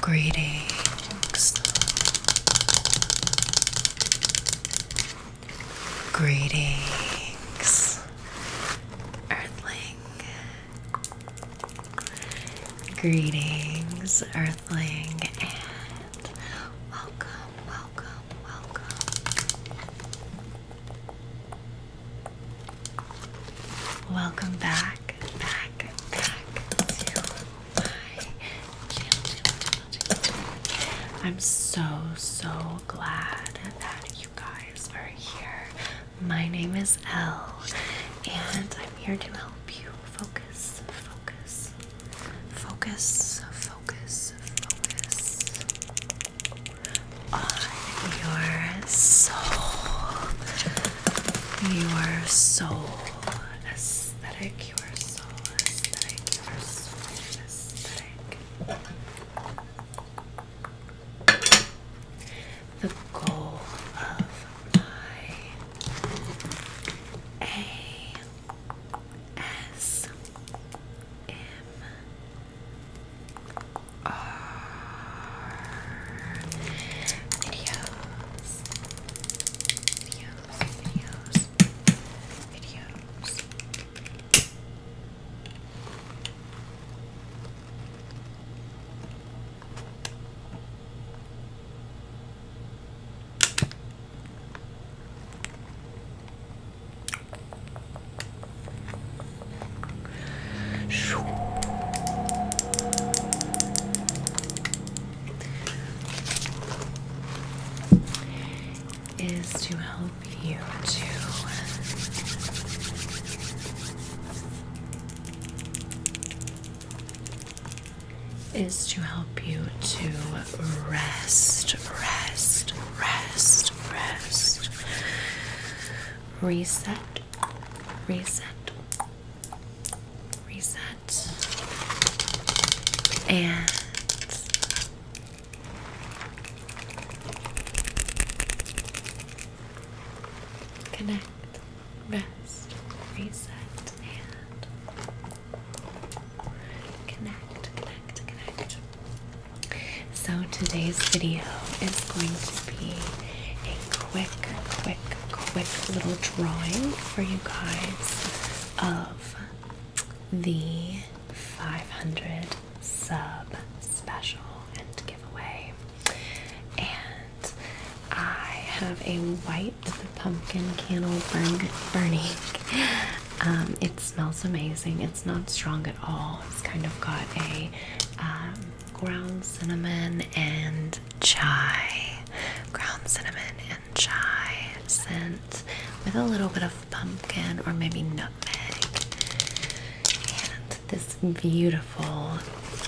Greetings. Greetings. Earthling. Greetings, Earthling and welcome, welcome, welcome. Welcome back, back, back to my channel. I'm so, so glad that you guys are here. My name is Elle, and I'm here to help you focus, focus focus, focus, focus, on your soul, your soul aesthetic, your soul aesthetic, your soul aesthetic. The goal of my S M R videos, videos, videos, videos is to help you to is to help you to rest, rest, rest, rest. Reset, reset, reset, and connect rest, reset, and connect, connect, connect. So today's video is going to be a quick, quick, quick little drawing for you guys of the 500 sub special and giveaway. And I have a white pumpkin candle burning. Um, it smells amazing. It's not strong at all. It's kind of got a um, ground cinnamon and chai, ground cinnamon and chai scent with a little bit of pumpkin or maybe nutmeg. And this beautiful Full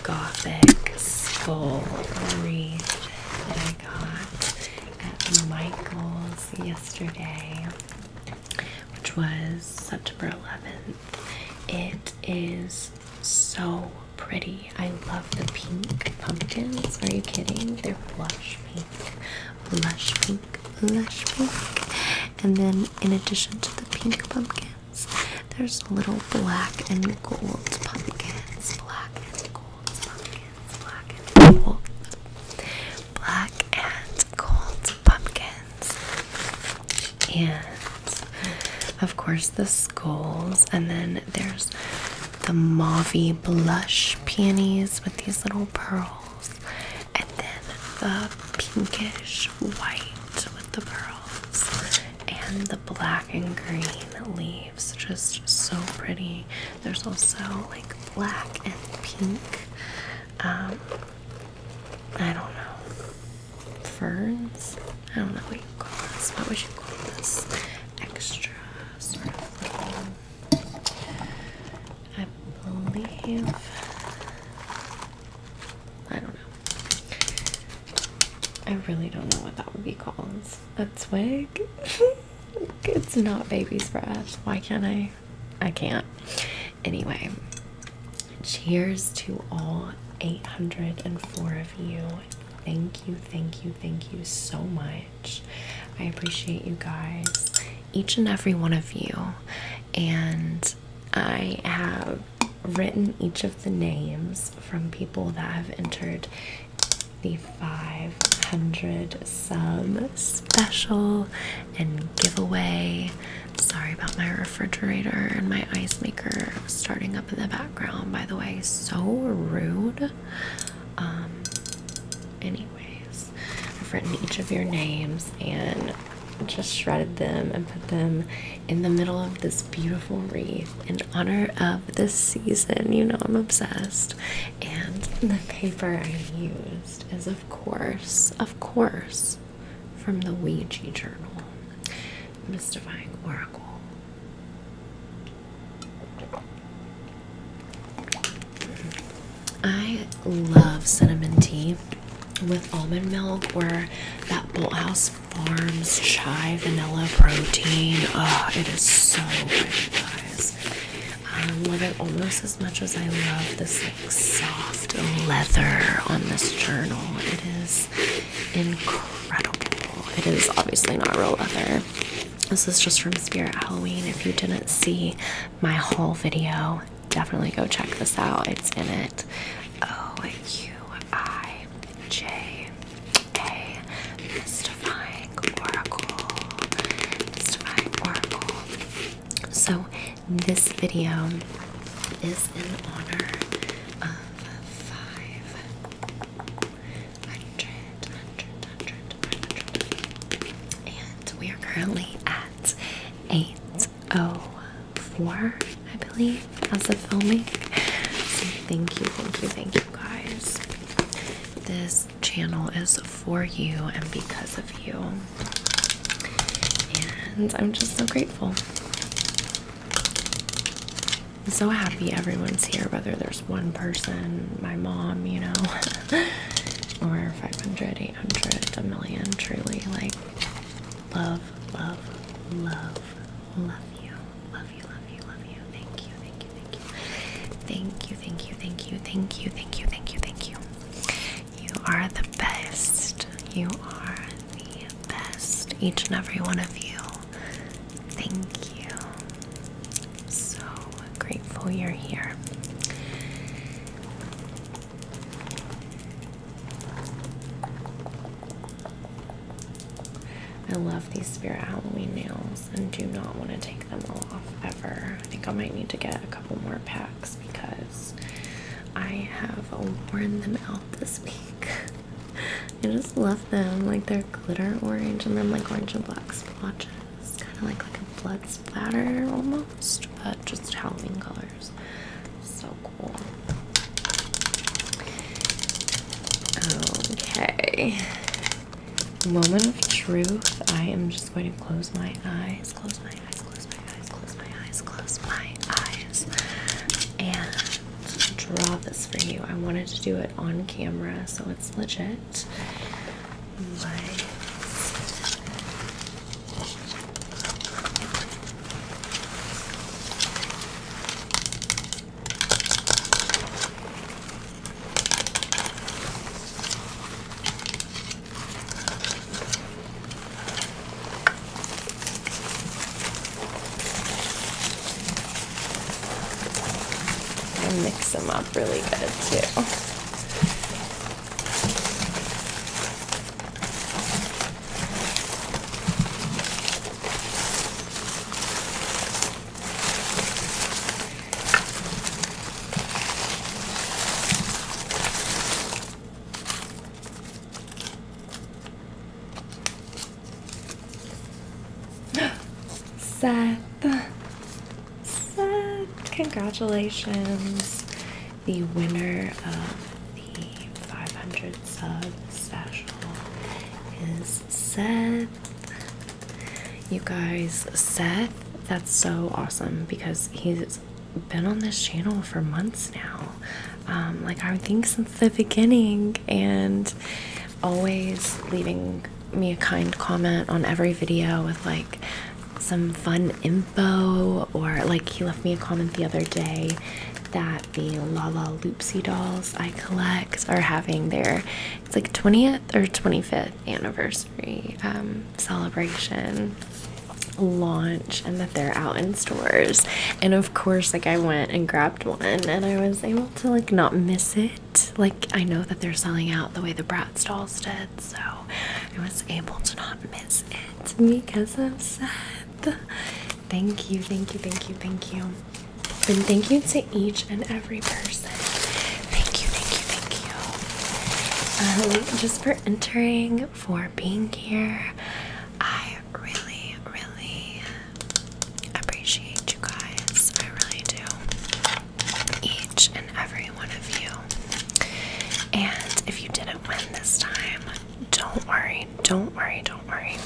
gothic skull wreath that I got at Michael's yesterday, which was September 11th. It is so pretty. I love the pink pumpkins. Are you kidding? They're blush pink, blush pink, blush pink. And then, in addition to the pink pumpkin, there's little black and gold pumpkins, black and gold pumpkins, black and gold, pumpkins. And of course the skulls, and then there's the mauvey blush peonies with these little pearls, and then the pinkish white with the pearls, and black and green leaves, just so pretty. There's also like black and pink. Um, I don't know. Ferns? I don't know what you call this. What would you call this? Extra sort of little. I believe. I don't know. I really don't know what that would be called. A twig? it's not baby's breath. Why can't I? I can't. Anyway, cheers to all 804 of you. Thank you, thank you, thank you so much. I appreciate you guys, each and every one of you. And I have written each of the names from people that have entered the 500 sub special and giveaway. Sorry about my refrigerator and my ice maker starting up in the background, by the way. So rude. Um, anyways, I've written each of your names and just shredded them and put them in the middle of this beautiful wreath in honor of this season. You know, I'm obsessed. And the paper I used is, of course, of course, from the Ouija Journal Mystifying Oracle. I love cinnamon tea with almond milk or that Bolthouse Farms chai vanilla protein. Oh, it is so good, guys. I love it almost as much as I love this like soft leather on this journal. It is incredible. It is obviously not real leather. This is just from Spirit Halloween. If you didn't see my whole video, definitely go check this out. It's in it. O U I J A Mystifying Oracle. Mystifying Oracle. So this video is in honor of five hundred, hundred, hundred, hundred, and we are currently at eight Oh four, I believe, as of filming. thank you, thank you, thank you, guys. This channel is for you and because of you. And I'm just so grateful. so happy everyone's here, whether there's one person, my mom, you know, or 580. 800, a million, truly like love, love, love, love you, love you, love you, love you. Thank you, thank you, thank you, thank you, thank you, thank you, thank you. You are the best. You are the best. Each and every one of you. Thank you. So grateful you're here. I love these Spirit Halloween nails and do not want to take them off ever. I think I might need to get a couple more packs because I have worn them out this week. I just love them. Like they're glitter orange and then like orange and black splotches. It's kind of like, like a blood splatter almost, but just Halloween colors. So cool. Okay. Moment of truth. I am just going to close my eyes, close my eyes, close my eyes, close my eyes, close my eyes, and draw this for you. I wanted to do it on camera, so it's legit lights. mix them up up really good too. Seth, congratulations. The winner of the 500 sub special is Seth. You guys, Seth, that's so awesome because he's been on this channel for months now. Um, like I think since the beginning and always leaving me a kind comment on every video with like some fun info, or like he left me a comment the other day that the La La Loopsy dolls I collect are having their it's like 20th or 25th anniversary um, celebration launch and that they're out in stores and of course like I went and grabbed one and I was able to like not miss it like I know that they're selling out the way the brat dolls did, so I was able to not miss it because I'm sad. Thank you, thank you, thank you, thank you. And thank you to each and every person. Thank you, thank you, thank you. Um, just for entering, for being here. I really, really appreciate you guys. I really do each and every one of you. And if you didn't win this time, don't worry, don't worry, don't worry.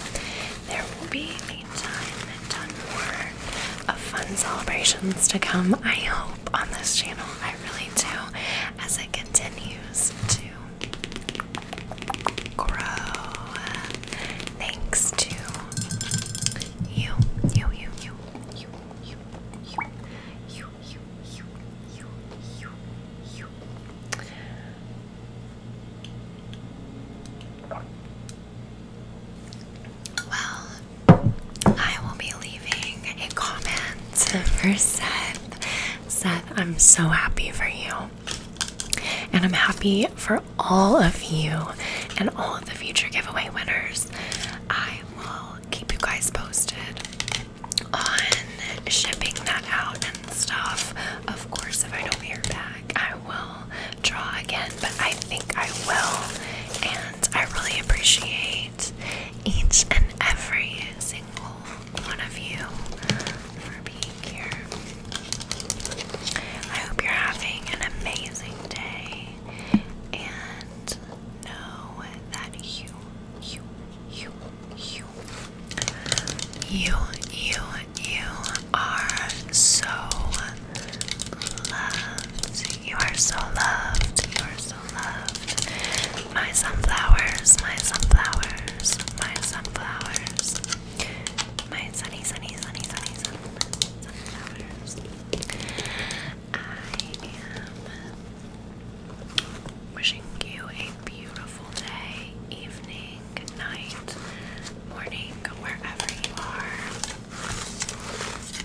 There will be a ton, ton more of fun celebrations to come, I hope, on this channel. I really do, as it continues to grow. Thanks to you, you, you, you, you, you, you, you, you, you, you, you, Well, I will be leaving a comment for Seth. Seth, I'm so happy for you. And I'm happy for all of you and all of the future giveaway winners. I will keep you guys posted on shipping that out and stuff. Of course, if I don't hear back, I will draw again, but I think I will. And I really appreciate each and every single one of you for being I hope you're having an amazing day and know that you, you, you, you, you, you, you are so loved. You are so loved. You are so loved. My sunflowers, my sunflowers, my sunflowers my sunny, sunny, sunny, sunny, sunny, sunflowers. I am wishing you a beautiful day, evening, night, morning, wherever you are.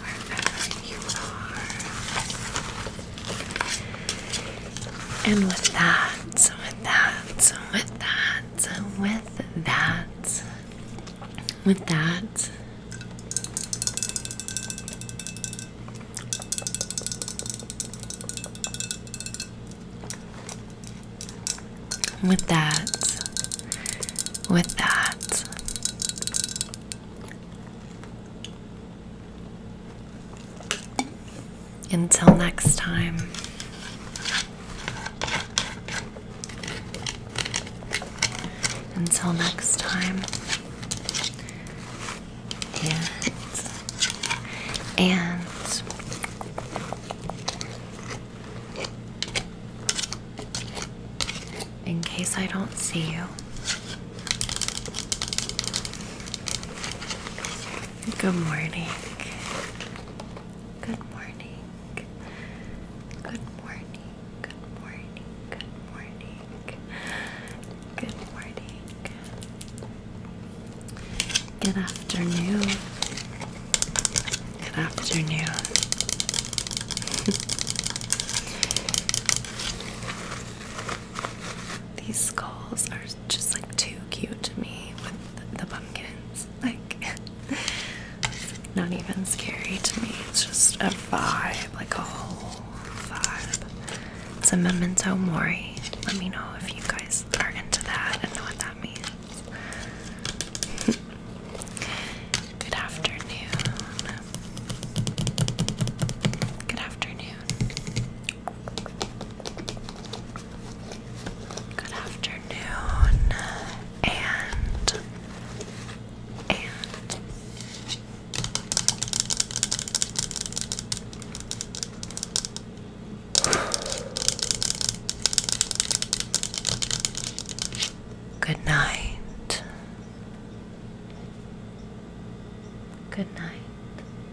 Wherever you are. And with that, so with that, so with that. So with that, with that, with that, with that. Until next time. Until next time. And and in case I don't see you, good morning. Good morning. Good morning. Good morning. Good morning. Good morning. Good afternoon. Good afternoon. These skulls are just like too cute to me the pumpkins. Like, not even scary to me. It's just a vibe, like a whole vibe. It's a memento mori. Let me know if you guys are into that and know what that means. Good afternoon. Good afternoon. Good afternoon, and and good night. Good night.